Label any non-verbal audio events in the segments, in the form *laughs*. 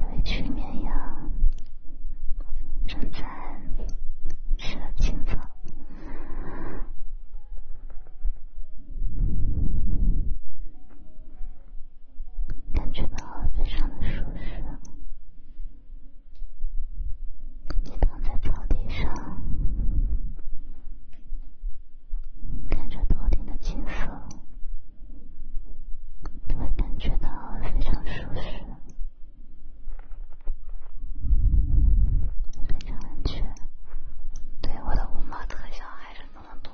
有一群绵羊正在吃青草，感觉到非常的舒适，你躺在草地上，看着头顶的景色。你会感觉到非常舒适，非常安全。对，我的五毛特效还是那么多。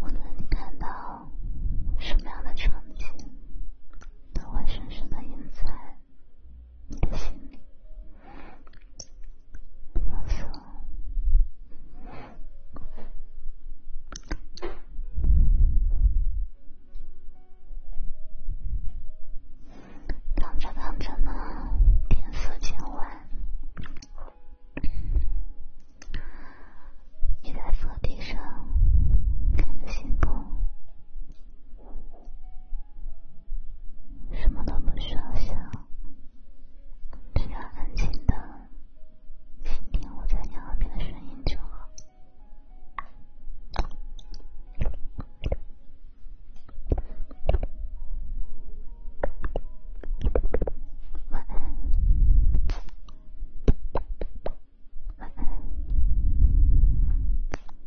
无论你看到什么样的场景，都会深深的印在。看着着呢，天色渐晚，你在草地上看着星空。什么都不需要想，只要安静的倾听我在你耳边的声音就好。晚安，晚安。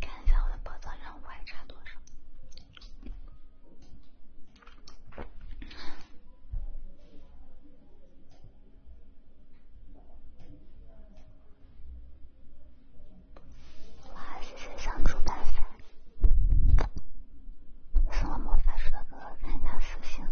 看一下我的宝藏任务还差多少。哇，谢谢小猪白发，送了魔法书的哥哥看一下私信啊，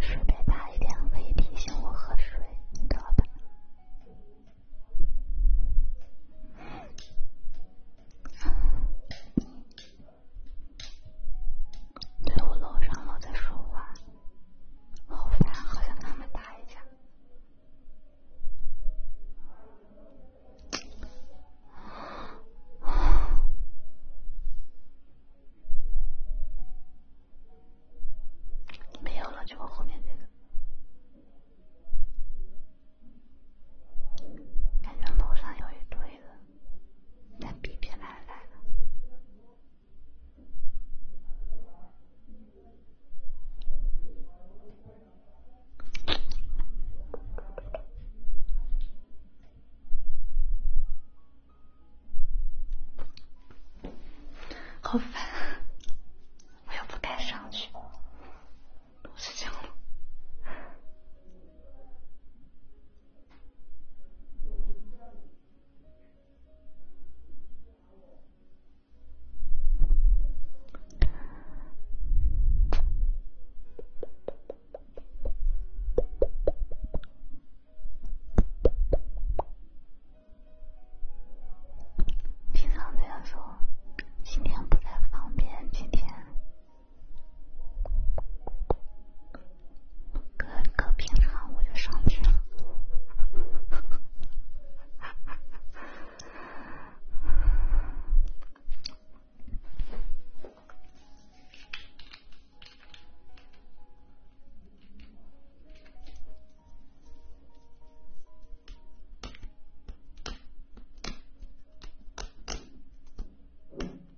顺便大一点可以提醒我喝水，你知道吧？对我楼上老在说话，好烦，好想跟他们打一架。没有了，就我后面这个。感觉楼上有一堆人。那别别来来了，好烦，我又不敢上去，都是这样。平常这样说，今天不太方便。今天。搁搁平常我就上去了。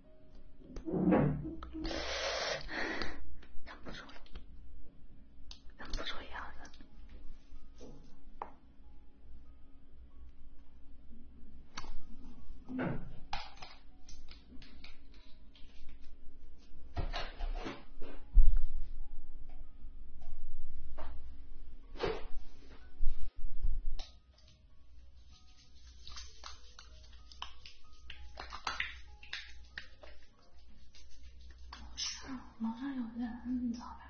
忍不住了，忍不住一下子。楼上有人，走呗。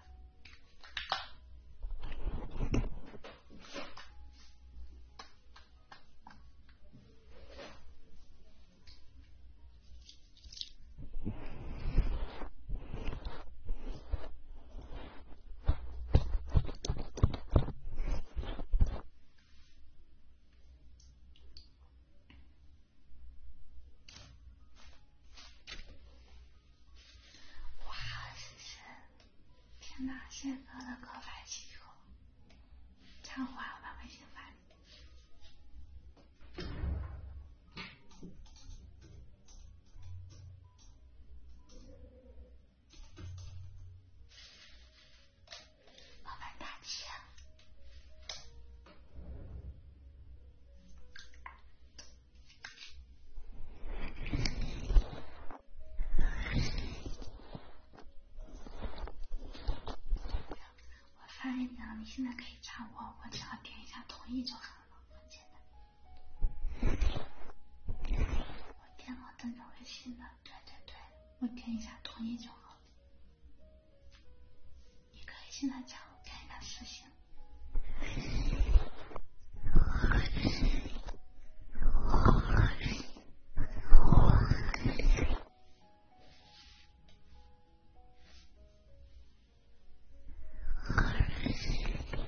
哇，谢谢天哪！谢在真的告白气球，等会儿我把微信发。*laughs* 老板大气啊！我发给你了，你现在可以加我，我只要点一下同意就好了，很简单。我电脑登着微信呢。对对对，我点一下同意就好。你可以现在加我看一下试试。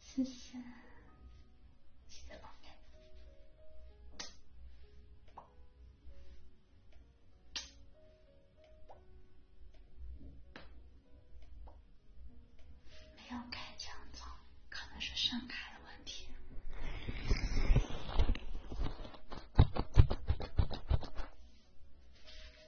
谢谢，谢谢老贝。没有开枪走，可能是声卡的问题。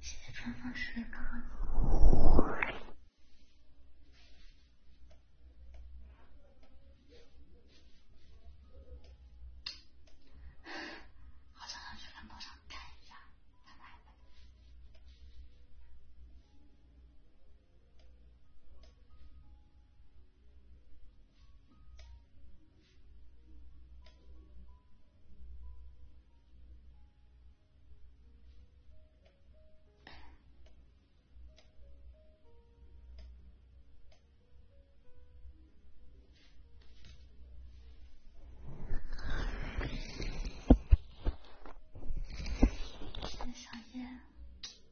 谢谢春风时刻。好想要去看多少盖呀！拜拜。小 o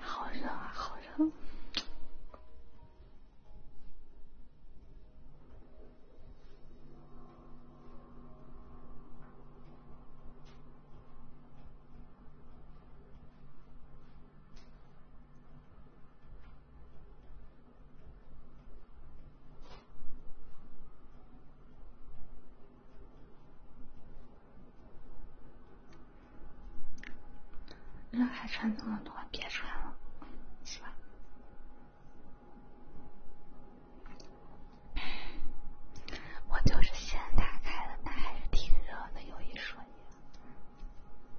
好热啊，好热。热还穿那么多，别穿了，是吧？我就是先打开了，但还是挺热的。有一说一。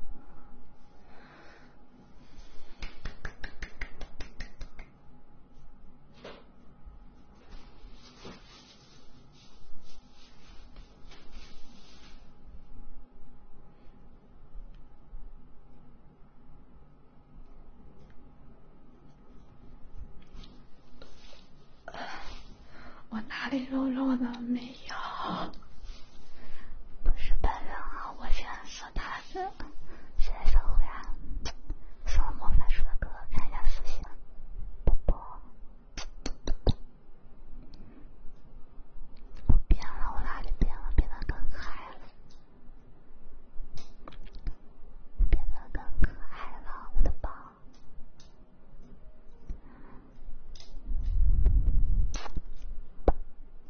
我哪里弱弱的没？哎呀，不是本人啊！我现在是他的，现在守护呀，送魔法树的哥哥看一下私信，宝宝，我变了，我哪里变了？变得更可爱了，变得更可爱了，我的宝。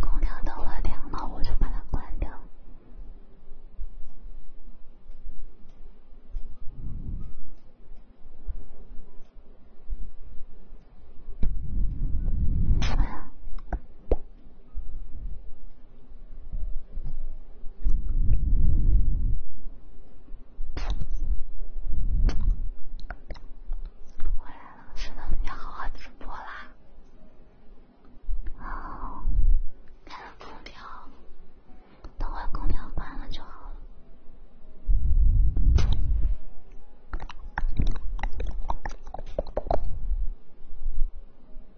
空调到了，凉了，我就把它关掉。回来了，是的，要好好直播啦。哦，开了空调，等会空调关了就好了。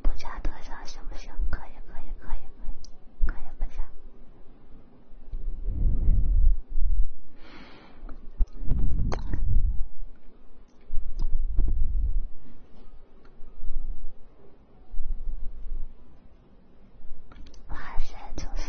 不加特效行不行？可以，可以，可以，可以，可以不加。哇塞，就是。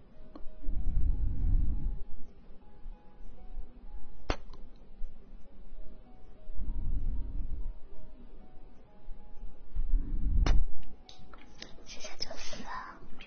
谢谢九思啊，有。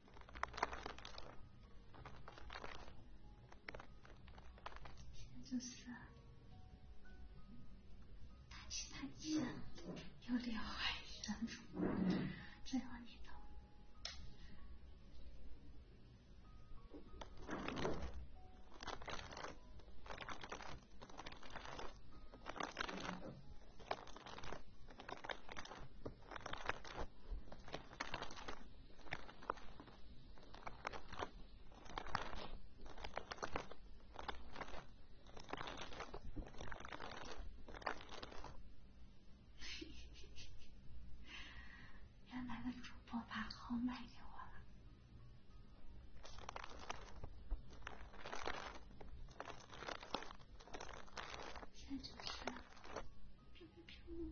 就是，大气大气，有刘海男主，最后你都。*laughs* 原来的主播把号卖给我了，现在就是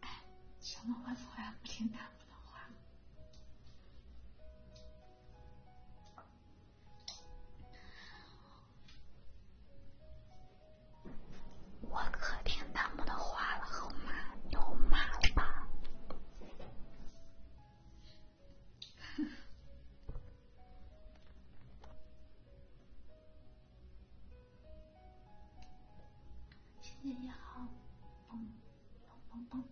哎，*laughs* 小猫我从来不听弹幕的话，我可听弹幕的话了，好吗？有妈了吧？谢谢一号，嘣嘣嘣嘣。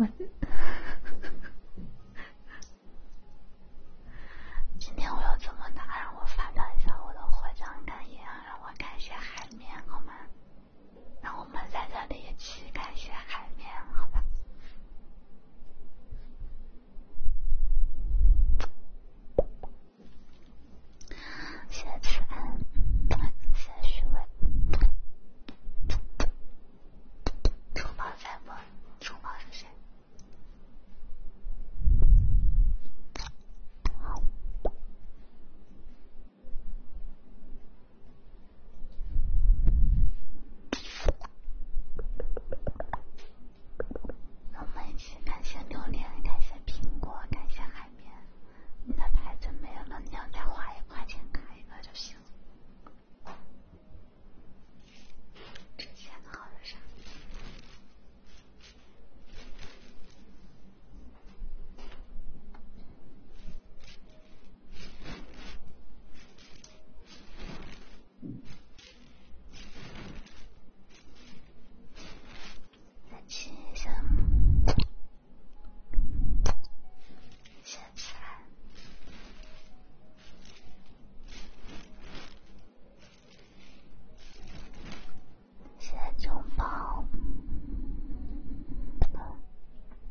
我 *laughs* 今天我要怎么打？让我发表一下我的获奖感言，让我感谢海绵，好吗？那我们在这里一起感谢海面，好吧？谢谢安，谢谢徐伟，珠宝在播，珠宝是谁？我们一起感谢榴莲，感谢苹果，感谢海绵。你的牌子没有了，你要再花一块钱卡一个就行。之前的号是啥？再亲一下，现在现在就宝。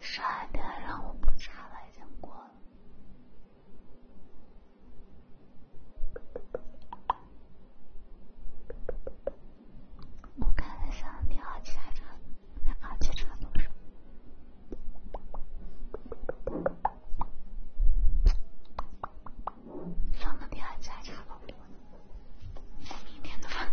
上一遍让我不查了，已经过了。我看一下，你好汽车，你好汽车，多少？三个你好多车我明天的饭。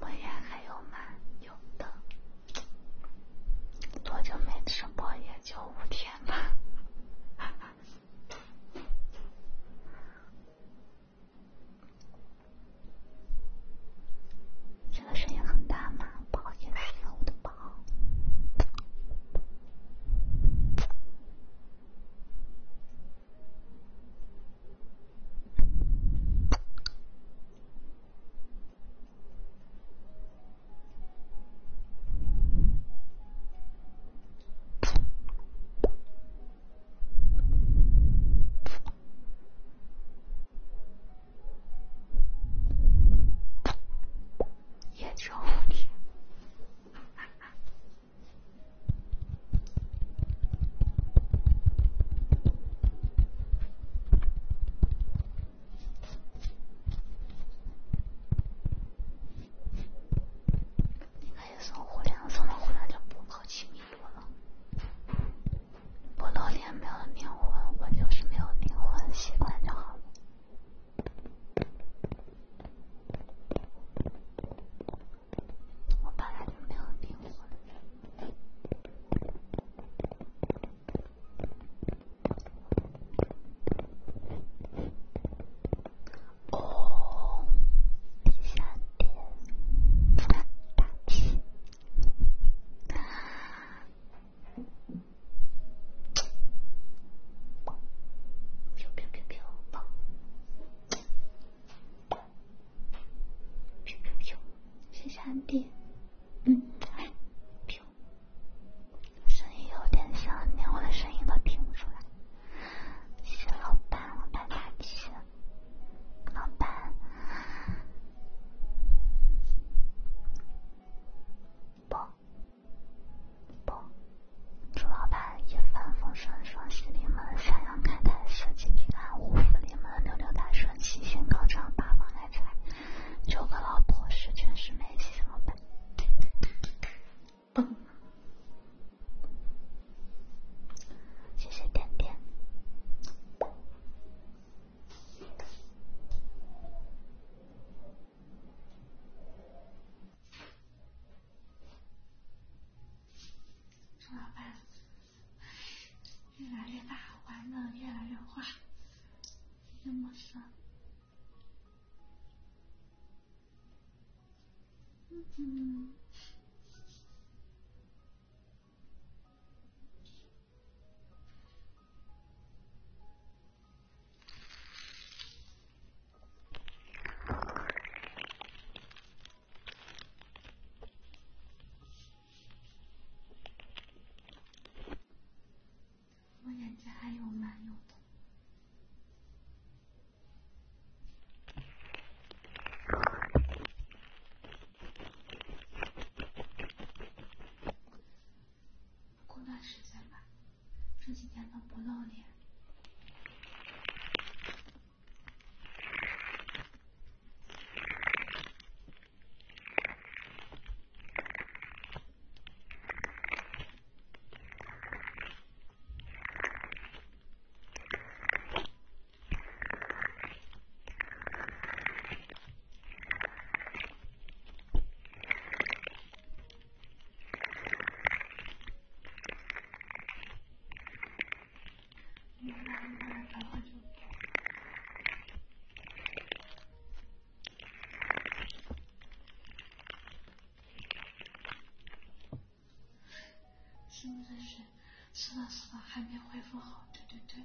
我也还有吗？有的。多久没直播？也就五天吧。这个声音很大吗？不好意思，我的宝。也就五天，你可以送火链，送了火链就不可轻蔑。我露脸没有灵魂，我就是没有灵魂，习惯就好了。我本来就没有灵魂。哦，第三点，大七。飘飘谢谢安迪。嗯，声音有点小，连我的声音都听不出来。谢谢老板，我买大了。老板，祝老板一帆风顺，双喜临门，三阳开泰，四季平安，五福临门，六六大顺，七星高照，八方来财，九个老婆，十全十美，谢谢老板，谢谢点点。怎么办？越来越大，玩的越来越花，真的是……嗯我眼睛还有蛮用过段时间吧，这几天都不露脸。是不是是？是的，是的，还没恢复好。对，对，对。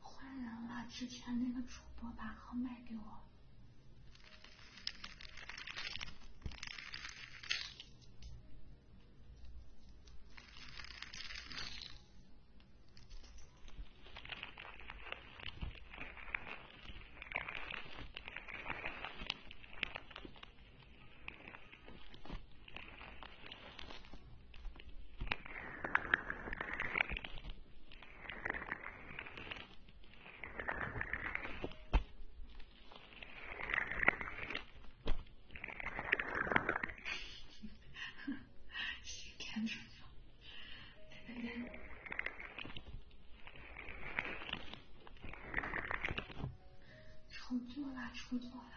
换人了，之前那个主播把号卖给我谁看出错了，出错了。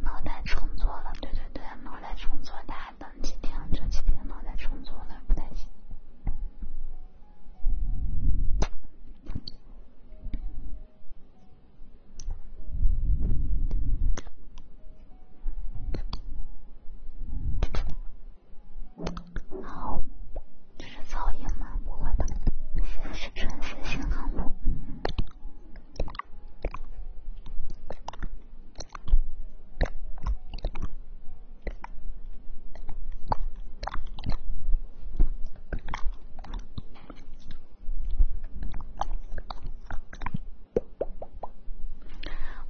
脑袋重做了，对对对，脑袋重做的。等几天，这几天嘛在创作呢，不太行。好，这是噪音吗？不会吧，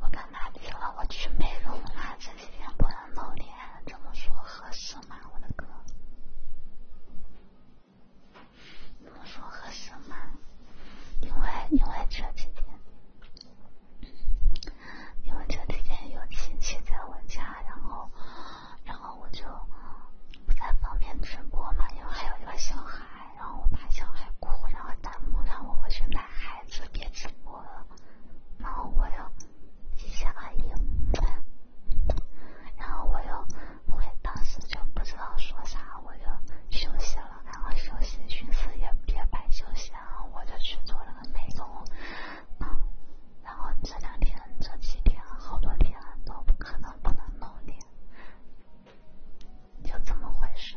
我刚才说了，我去美容了，这几天不能露脸，这么说合适吗？我的哥，这么说合适吗？因为，因为这几天。因为这几天有亲戚在我家，然后，然后我就不太方便直播嘛，因为还有一个小孩，然后我怕小孩哭，然后弹幕让我回去奶孩子，别直播了，然后我又谢谢阿姨，*laughs* 然后我又，我当时就不知道说啥，我就休息了。然后休息，寻思也别白休息啊，我就去做了个美容，然后这两天这几天好多天都不可能不能弄脸。就这么回事。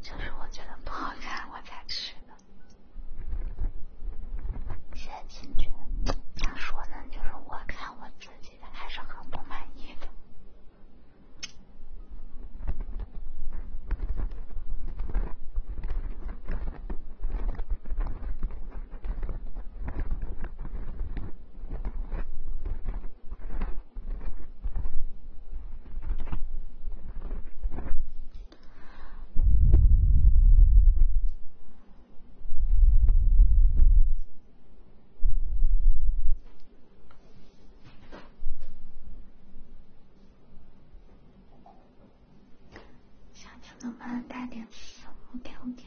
就是我觉得不好看，我才吃的。谢清泉，咋说呢？就是我看我自己的，还是很不满意。的。想不能带点什么？我点。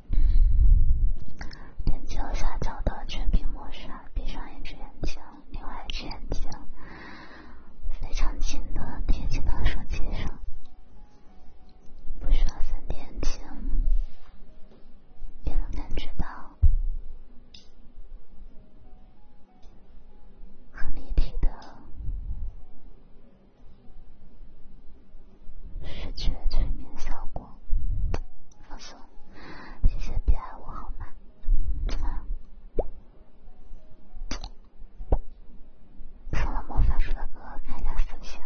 点击右下角的全屏模式，闭上一只眼睛，另外一只眼睛非常近的贴近到手机上，不需要三点睛，也能感觉到很立体的。视觉催眠效果，放松。谢谢别爱我好吗？送了魔法书的哥，看一下私信。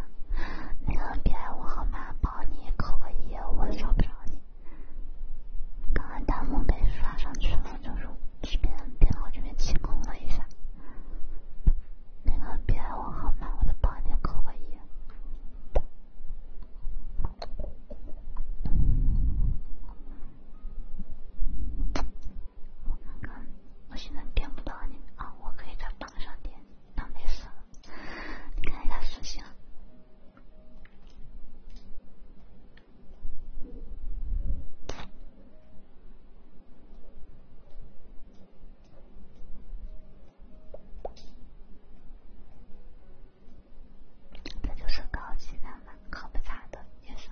那个别爱我好吗？保你扣个一，我找不着你。刚刚弹幕被刷上去了，就是这边电脑这边清空了一下。那个别爱我好吗？我再帮你扣个一。我看看，我现在点不到你啊，我可以在榜上点，那没事。你看一下私信。这就是高级浪漫，喝不茶的夜色。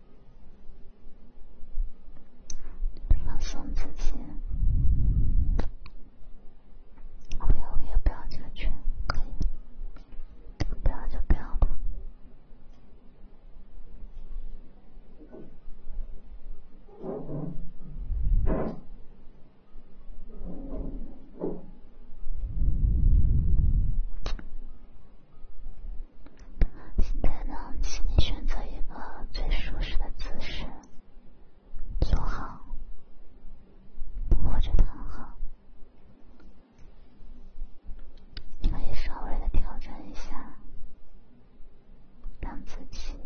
放松自己，不要不要不要这个圈，不要就不要。现在呢，请你选择一个最舒适的姿势，坐好或者躺好，你可以稍微的调整一下，让自己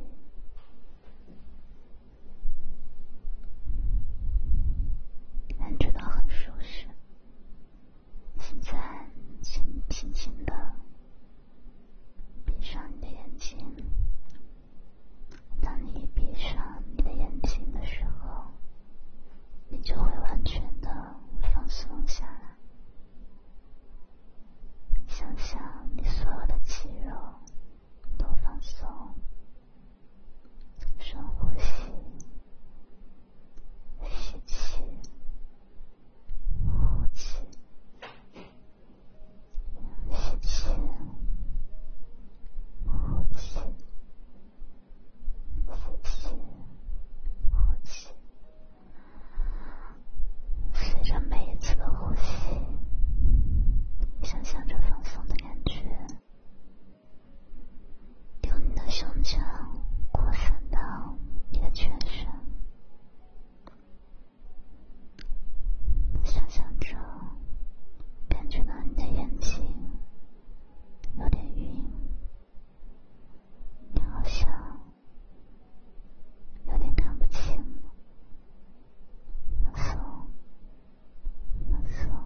感觉到很舒适。现在，请你轻轻的闭上你的眼睛。当你闭上你的眼睛的时候，你就会完全的放松下来。想象你所有的肌肉都放松，深呼吸，吸气。呼气，吸气，呼气，吸气，呼气。随着每一次的呼吸，想象着放松的感觉，用你的胸腔扩散到你的全身。想象着，感觉到你的眼睛有点晕，你好像有点看不清。放松，放松，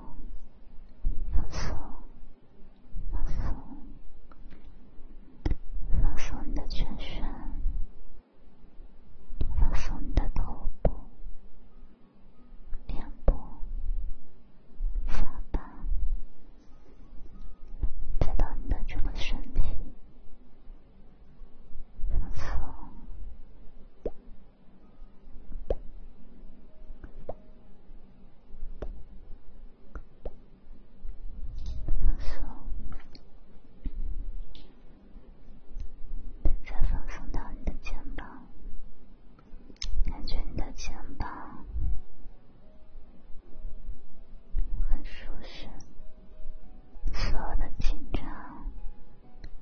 放松。放松，放松你的全身，放松你的头部、脸部、下巴，再到你的整个身体，放松。放松，再放松到你的肩膀，感觉你的肩膀很舒适，所有的紧张、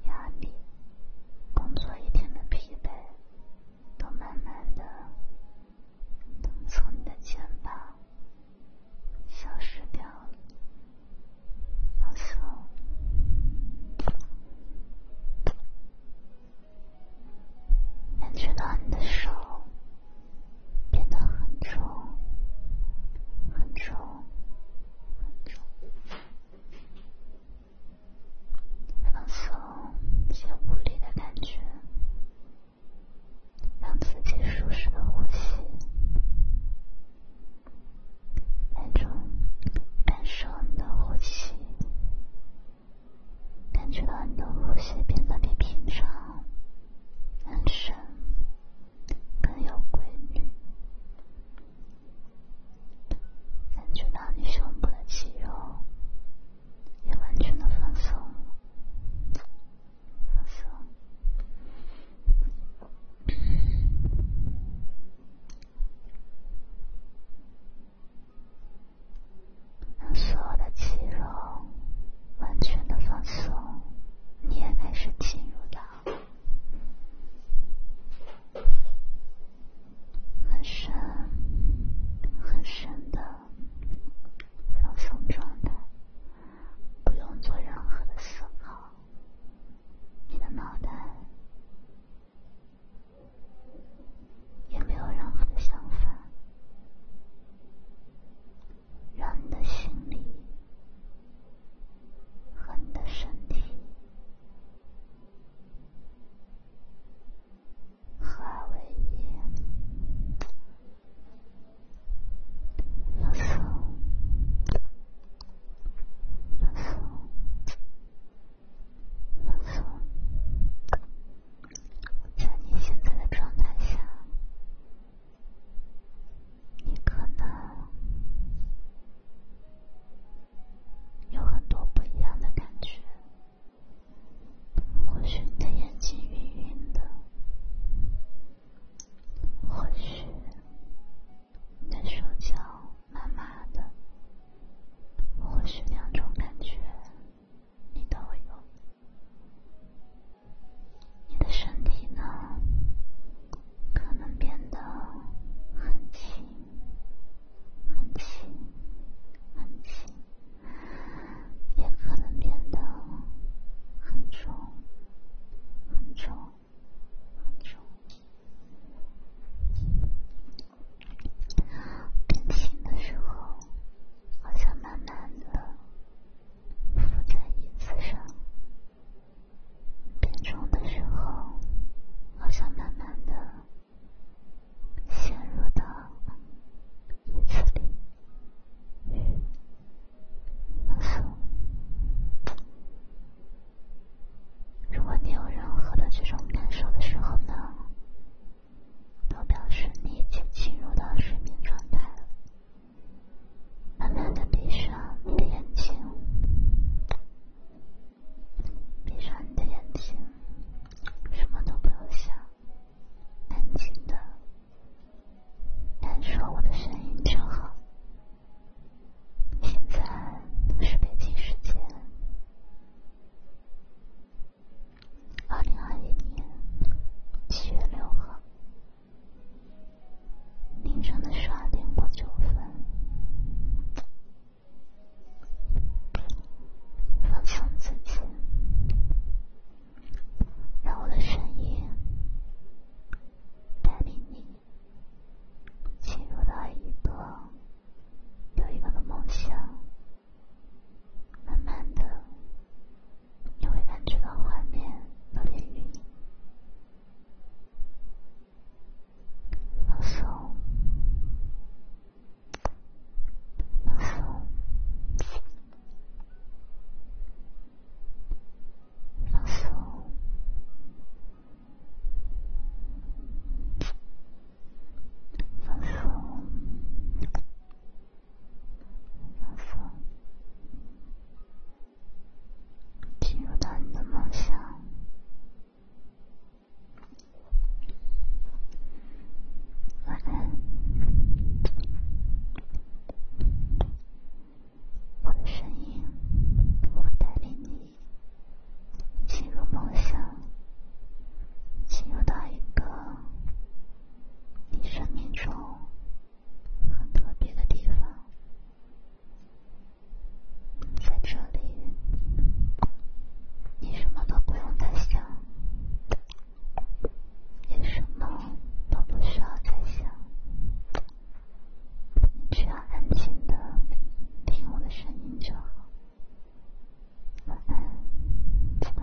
压力、工作一天的疲惫，都慢慢的。从你的肩膀消失掉了，放松，感觉到你的手变得很重、很重、很重，放松，一些无力的感觉。让自己舒适的呼吸，那种感受你的呼吸，感觉到你的呼吸变得比平常更深、更有规律，感觉到你胸部的肌肉也完全的放松放松，让所有的肌肉完全的放松，你也开始进入到很深、很深的。放松状态，不用做任何的思考，你的脑袋也没有任何的想法，让你的心里和你的身体合二为一。放松，放松，放松。在你现在的状态下，你可能有很多不一样的感觉。或许你的眼睛晕晕的，或许你的手脚麻麻的，或许两种感觉你都有。你的身体呢，可能变得很轻，很轻，很轻。也可能变得很重、很重、很重。变轻的时候，好像慢慢的浮在椅子上；变重的时候，好像慢慢的陷入到椅子里。如果你有任何的这种感受的时候呢，都表示你已经进入到睡眠状态了。慢慢的闭上你的眼睛，闭上你的眼睛，什么都不用想。安静的，感受我的声音就好。现在是北京时间年月号凌晨的点过九分，放松自己。让我的声音带领你进入到一个又一个的梦乡，慢慢的，你会感觉到画面的变美、放松、温柔。放松，放松，放松，进入你的梦想。晚安。我的声音会带领你进入梦乡，进入到一个你生命中很特别的地方。在这里，你什么都不用再想。些什么都不需要再想，只要安静的听我的声音就好。晚安，记得。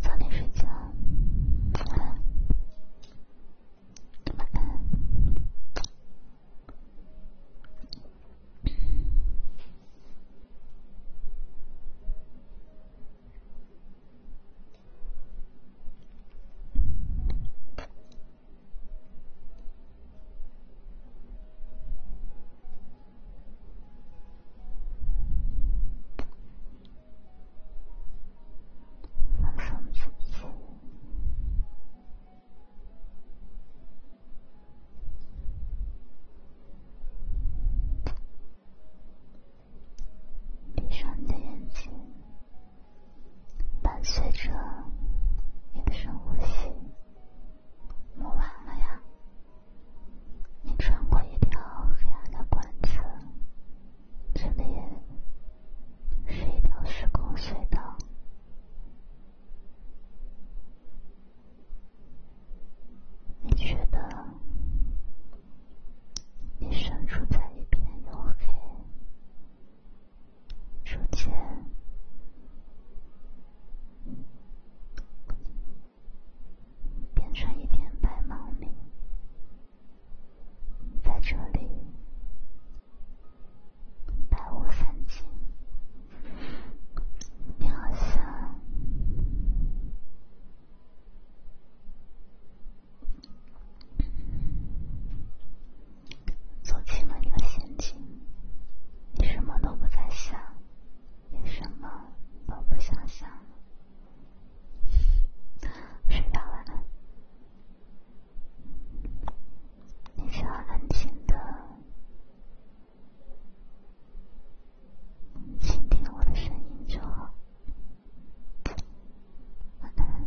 早点睡觉，晚安。放松自己，闭上你的眼睛，伴随着你的深呼吸。磨完了呀，你穿过一条黑暗的管子，这里是一条时空隧道。你觉得，你身处在一片黝黑。逐渐变成一片白茫茫，在这里，白雾散尽，你好像走进了一个仙境。你什么都不在想，你什么都不想想，睡觉晚安。你只要安静的，倾听我的声音就好，晚安。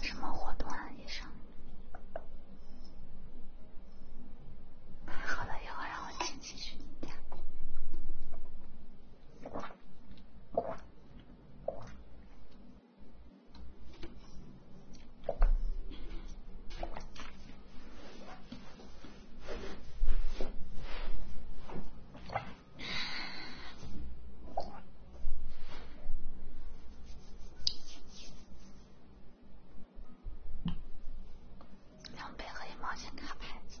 什么活动啊，医生？太好了，以后，让我亲亲去你家。两倍和一毛钱卡牌子。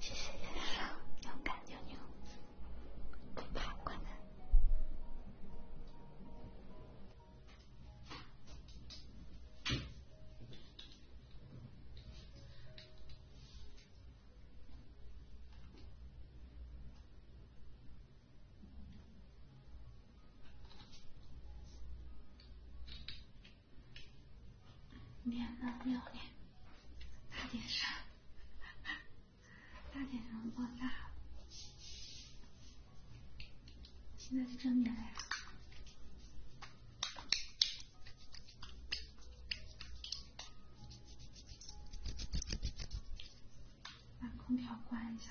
谢谢，勇敢牛牛，不怕困难。免了，不要脸，大点声，大点声，放大。现在是正面了呀，把空调关一下。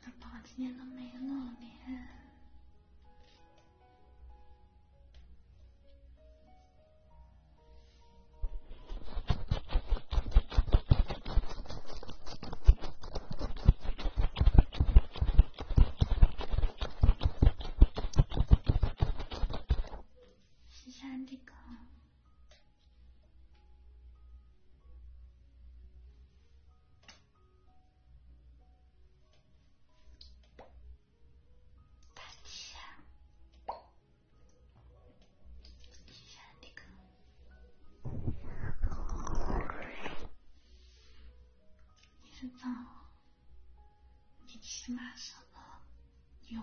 宝宝今天都没露脸。先看大姐，你知道，你起码是个妞。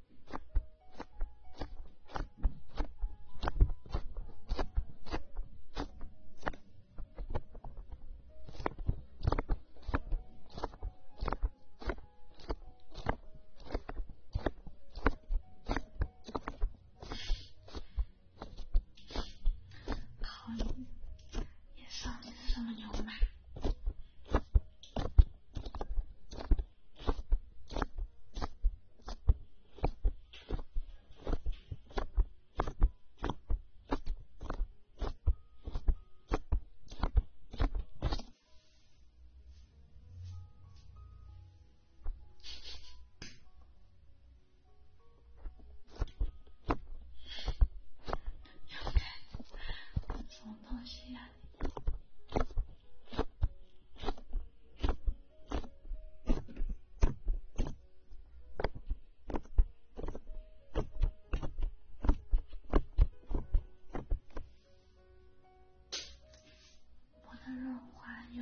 可以，你说你是什么牛奶？Oke, c o 我的润滑油。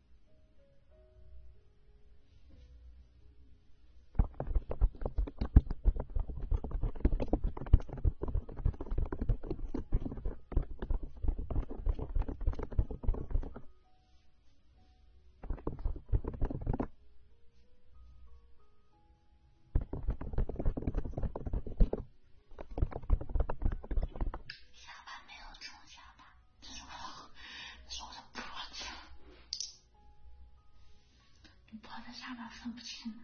下巴没有冲下巴这是我的，这是我的脖子，你脖子下面分不清吗？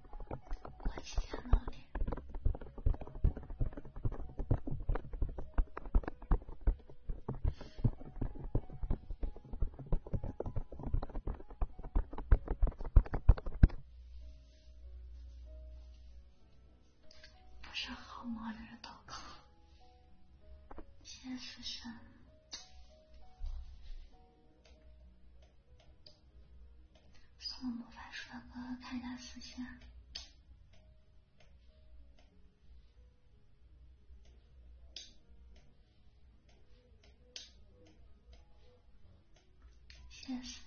我几天了是好猫就是刀客，天死神。送魔法书的哥哥，看一下私信。谢谢私信。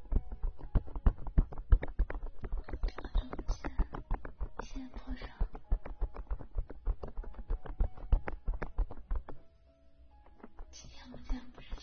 这个不见，现在多少？今天我竟然不认了。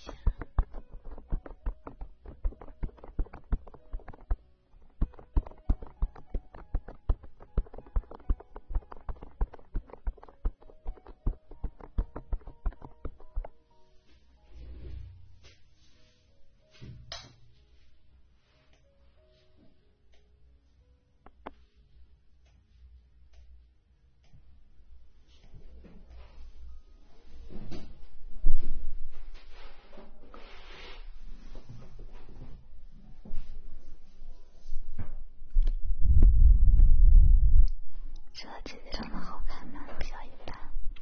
这姐姐长得好看吗？不一般。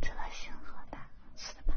这个星河的，是的吧？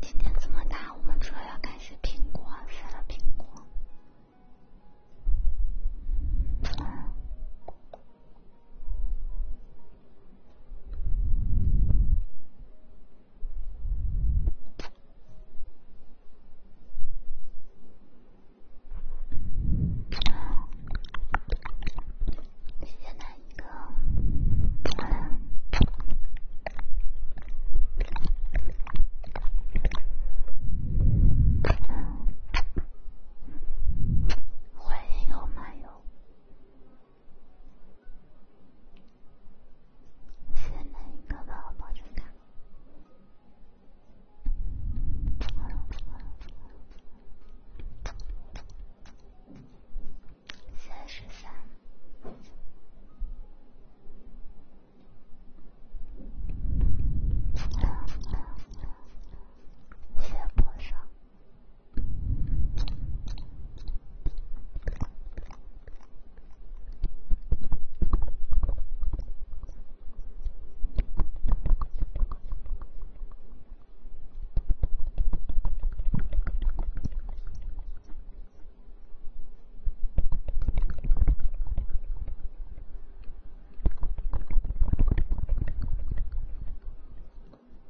今天这么大，我们主要要感谢苹果，谢谢苹果。谢谢奶。哥，欢迎我漫游，先拿一个的保证卡。三十三，山坡上。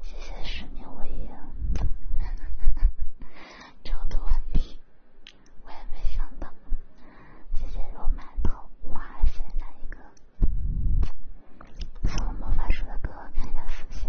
谢谢失眠无影，抽读完毕，我也没上当。谢谢罗馒头，哇塞，哪一个？送魔法书的哥，看一下私信。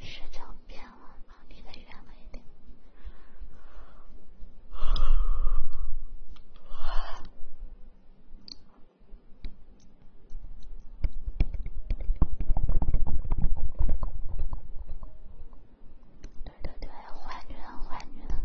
十九变了，你。对对对，坏女人，坏女人。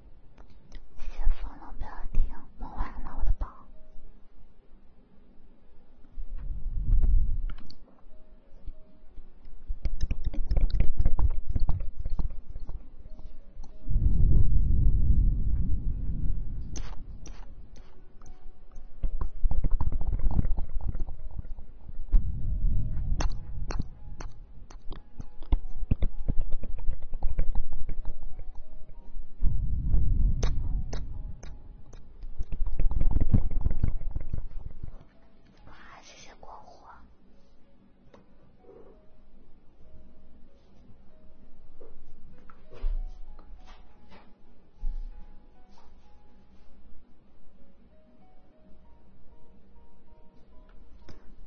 谢谢风龙标题，梦完了我的宝。哇，谢些光火！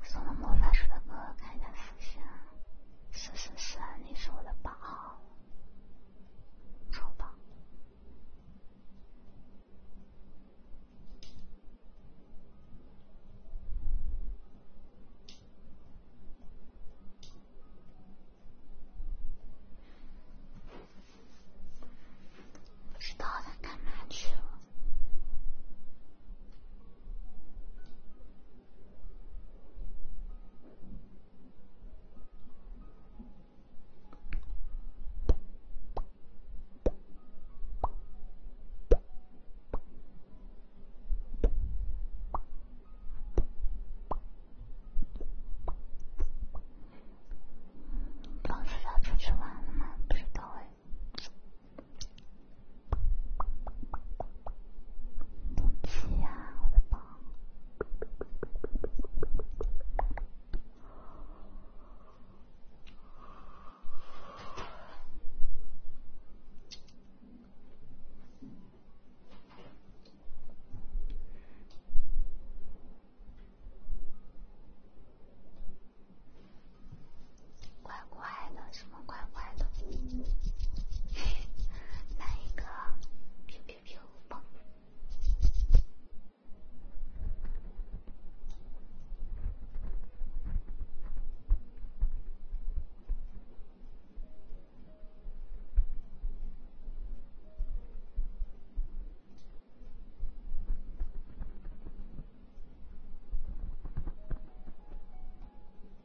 送了魔法书，的歌，看一他浮现。是是是，你是我的宝，超宝。不知道他干嘛去了。老师他出去玩了吗？不知道哎。对不起呀，我的宝，怪怪的怪怪的，*laughs* 来一个，咻咻咻，蹦。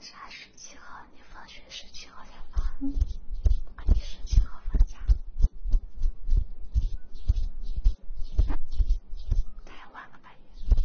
啥十七号？你放学十七号才放？二十七号放假，太晚了，半夜。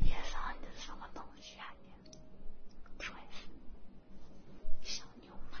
叶少，你这是什么东西啊你？真是小流氓！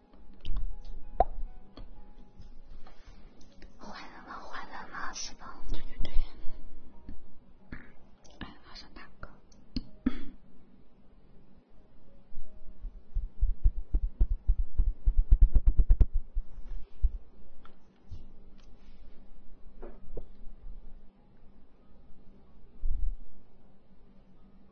坏人了，坏人了，是的，对对对。哎，好像大哥。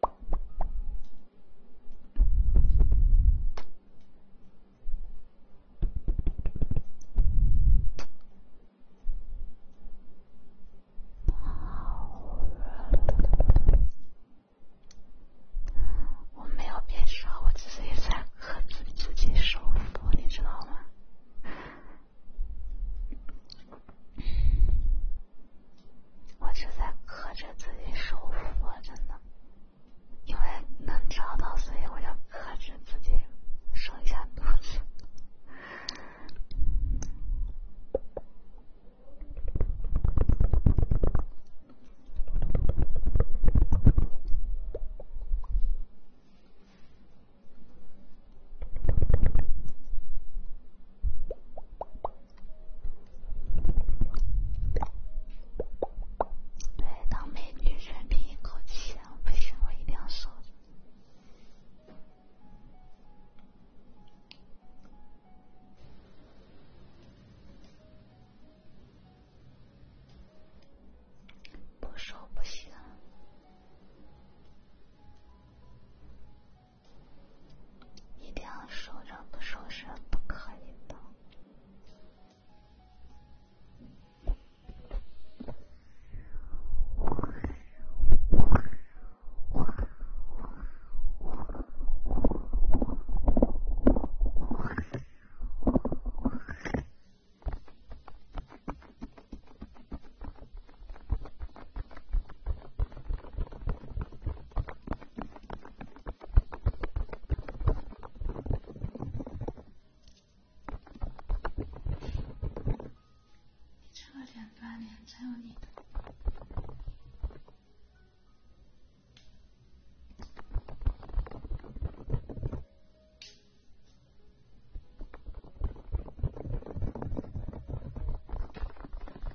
抱怨。我没有变少，我只是在克制自己收腹，你知道吗？我是在克制自己收腹，真的，因为能找到，所以我要克制自己收一下肚子。对，当美女，忍了一口气，不行，我一定要说，不说不行。一定要说着不说是不可以的。你这个脸，半年才有你的。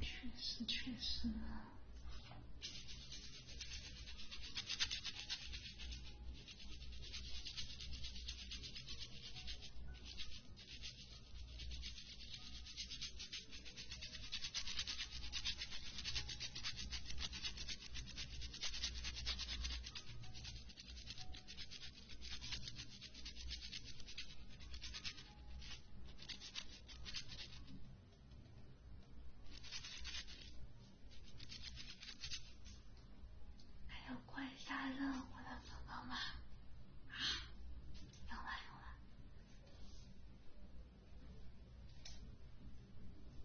确实，确实。还有关下任务的宝宝吗？有吗？有吗？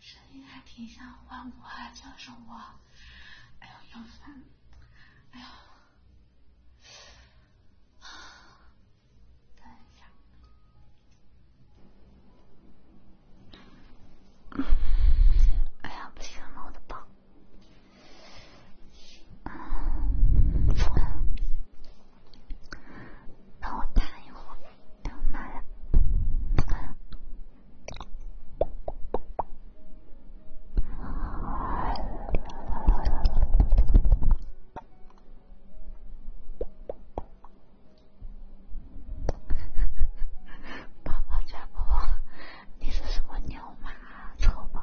声音还挺像我啊，叫是我。哎呦，要烦。哎呦。*sighs* 等一下。*coughs* 哎呀，不行了，我的包。嗯。让我谈一会儿。哎呀妈呀！宝宝家宝宝，你是什么牛马？臭宝！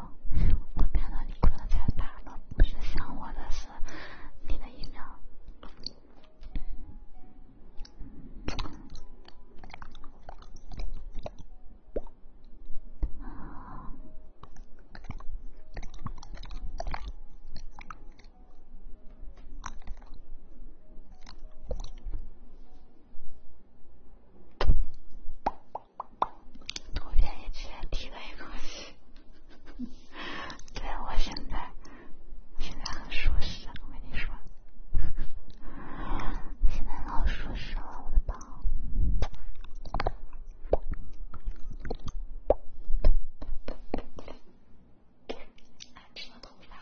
我看到你困得太惨了，不是想我的，是你的疫苗。图片也直接提了一口气，对我现在现在很舒适，我跟你说，现在老舒适了，我的宝。哎，这个头发。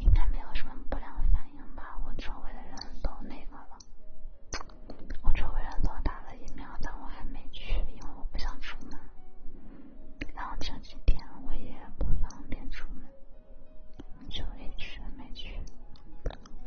应该没有什么不良反应吧？我周围的人都那个了，我周围人都打了疫苗，但我还没去，因为我不想出门。然后这几天我也不方便出门，就一直没去。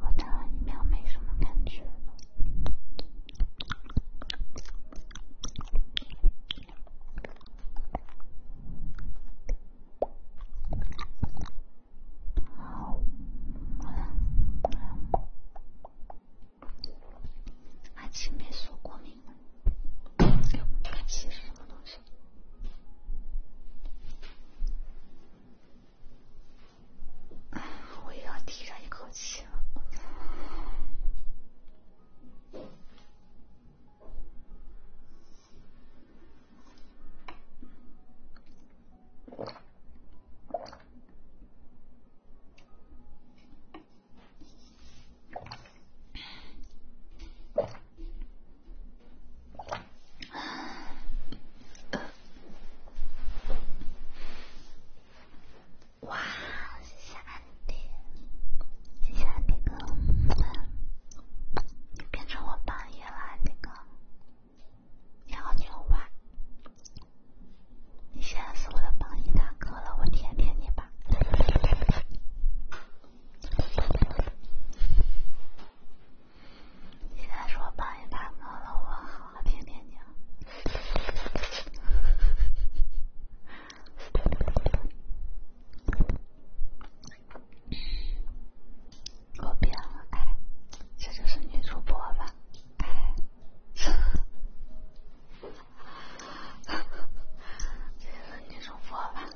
我打完疫苗没什么感觉。阿奇霉素过敏吗？阿奇是什么东西？我也要提上一口气了。哇，谢谢安迪，谢谢安迪哥，变成我榜一了，安迪哥，你好牛啊！你现在是我的榜一大哥了，我舔舔你吧。你再说帮你大哥了，我好好骗骗你。啊。哈我变了，哎，这就是女主播吧，哎，哈哈，是女主播吧。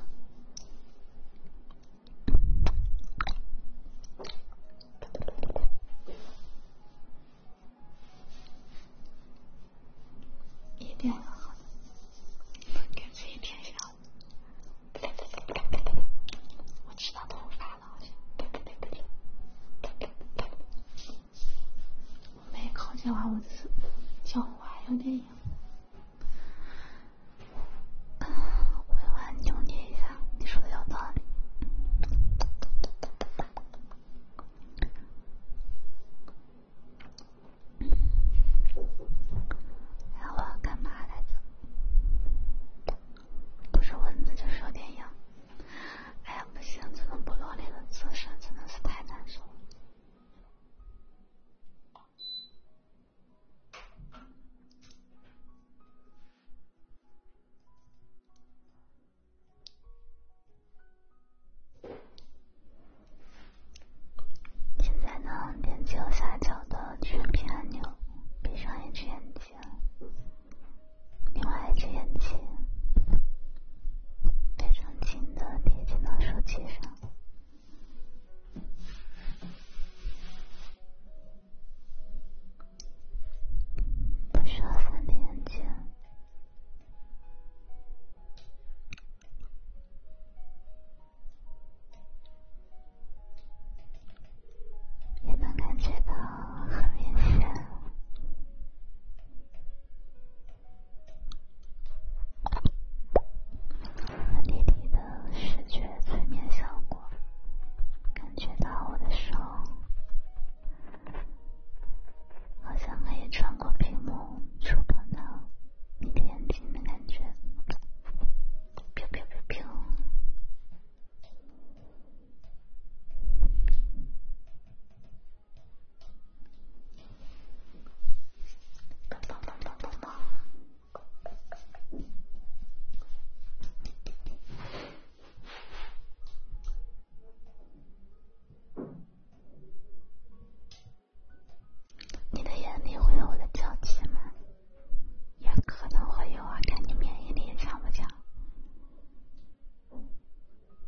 一定很好，感觉有点小。我吃到头发了，好像。没空，近完，我就是脚还有点痒，会玩扭捏一下。你说的有道理。哎呀，我要干嘛来着？不是文字就是电影。哎呀，不行，这个部落里的字声真的是太难受了。现在呢，点击右下角的全屏按钮，闭上一只眼睛，另外一只眼睛非常轻的贴近到手机上。不需要三点睛，也能感觉到很明显，很立体的视觉催眠效果。我感觉到我的手好像可以穿过屏幕，触摸到你的眼睛的感觉。你的眼里会有我的娇妻吗？也可能会有啊，看你免疫力强不强。*laughs*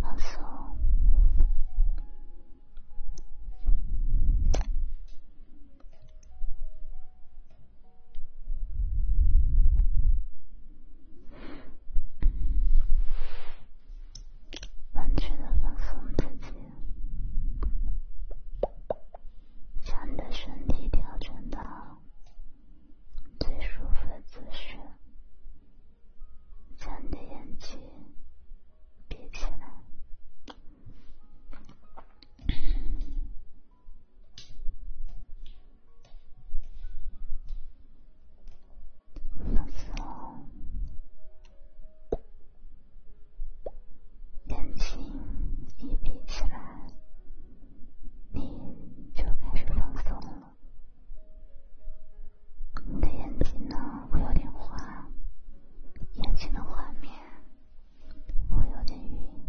放松，完全的放松自己，将你的身体调整到最舒服的姿势。将你的眼睛闭起来，放松。眼睛一闭起来，你就开始放松。了。你的眼睛呢会有点花，眼前的画面会有点晕。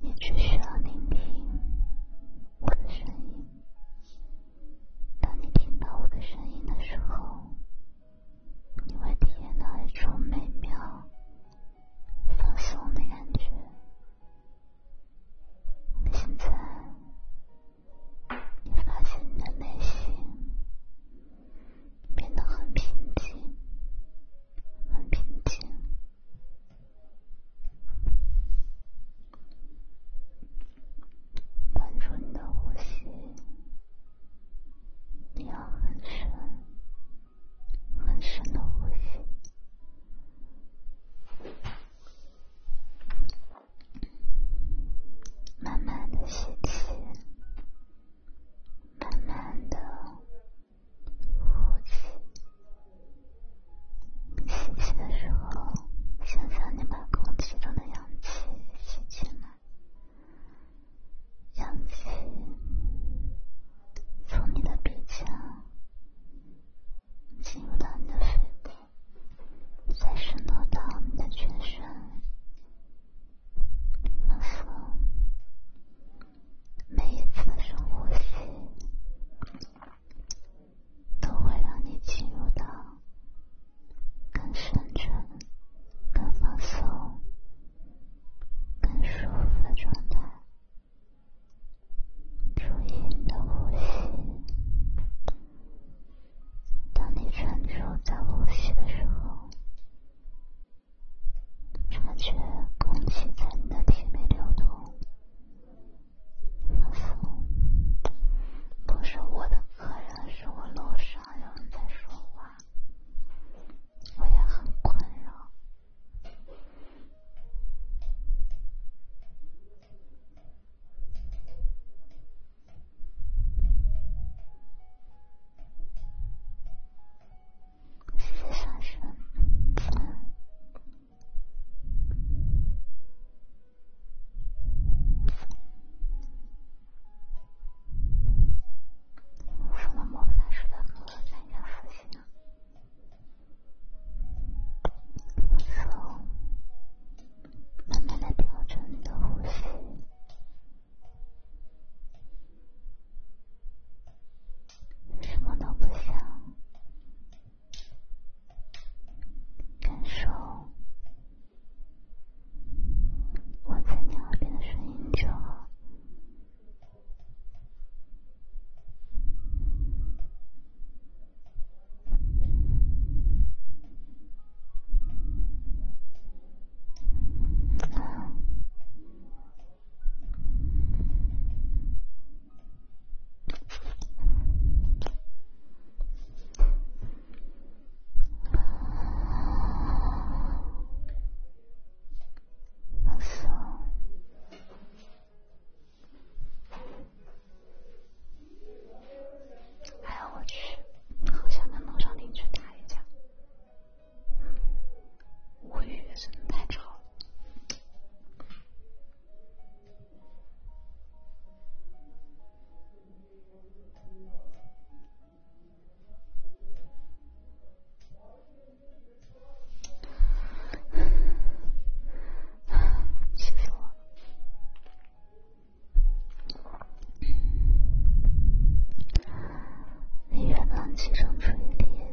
你只需要聆听我的声音。当你听到我的声音的时候。你会体验到一种美妙、放松的感觉。现在，你发现你的内心变得很平静，很平静。关注你的呼吸。你要很深、很深的呼吸，慢慢的吸气，慢慢的呼气。吸气的时候，想象你把空气中的氧气吸进来。氧气从你的鼻腔进入到你的肺部，再渗透到你的全身。仿佛每一次的深呼吸都会让你进入到更深沉。更放松、更舒服的状态。注意你的呼吸。当你专注在呼吸的时候，察觉空气在你的体内流动。仿佛不是我的客人，是我楼上有人在说话。我也很困扰，用什么魔法式的歌参加复习呢？从慢慢的调整你的呼吸，什么都不想，感受。我在你耳边的声音中。哎呀我去，好想跟孟少庭去打一架！无语，真的太吵了。气死我了！你元旦启程出片。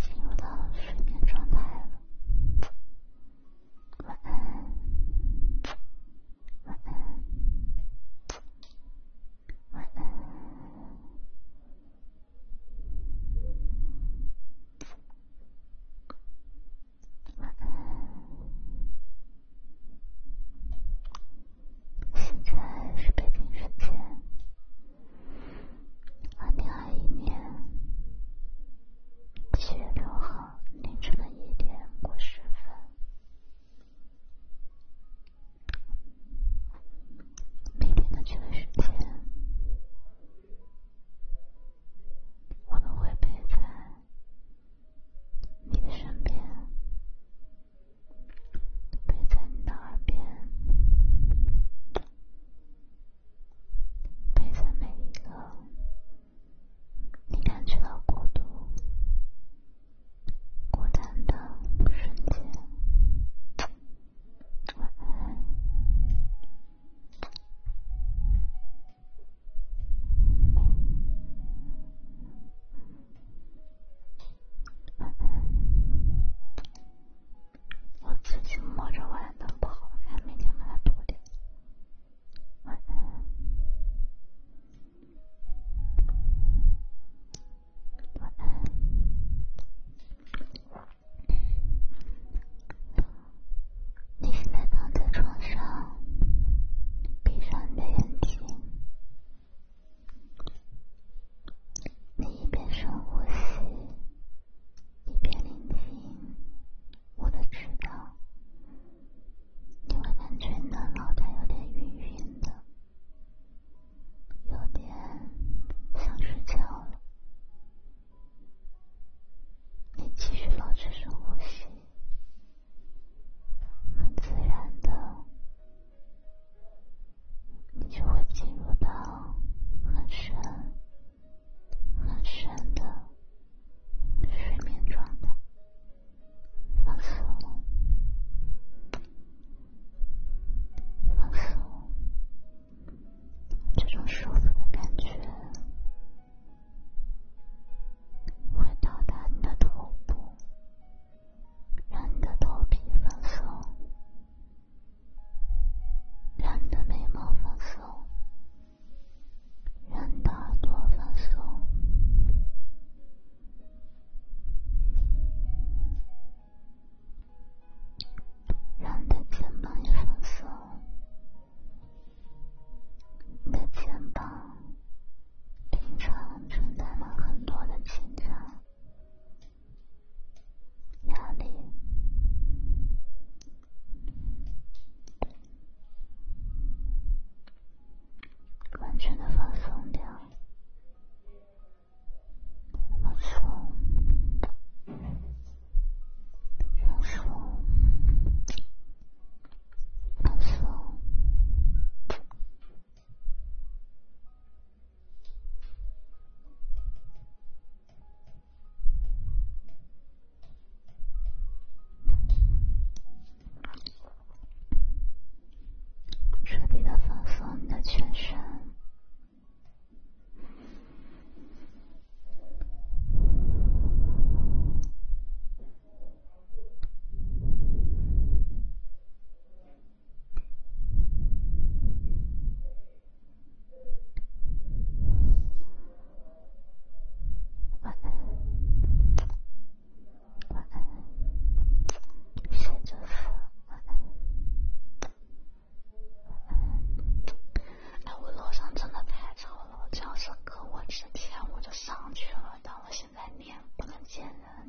进入到了睡眠状态了，晚安，晚安，晚安，晚安。现在是北京时间二零二一年七月六号凌晨的一点过十分。每天的这段时间，我们会陪在你的身边。陪在你的耳边，陪在每一个你感觉到孤独、孤单的瞬间。晚安。我自己摸着玩的不好看，每天把它涂的。我呢？我呢？你现在躺在床上，闭上你的眼睛。你一边深呼吸，一边聆听我的指导，你会感觉你的脑袋有点晕晕的，有点想睡觉了。你继续保持深呼吸，很自然的。你就会进入到很深、很深的睡眠状态，放松、放松，这种舒服的感觉会到达你的头部。让你的头皮放松，让你的眉毛放松，让你的耳朵放松，让你的肩膀也放松。你的肩膀平常承担了很多的紧张。压力，完全的放松掉，放松，放松，放松。彻底的放松你的全身晚安，晚安，神祝福，晚安，晚安。哎，我楼上真的太吵了，我只要是搁我之前我就上去了，但我现在脸不能见人。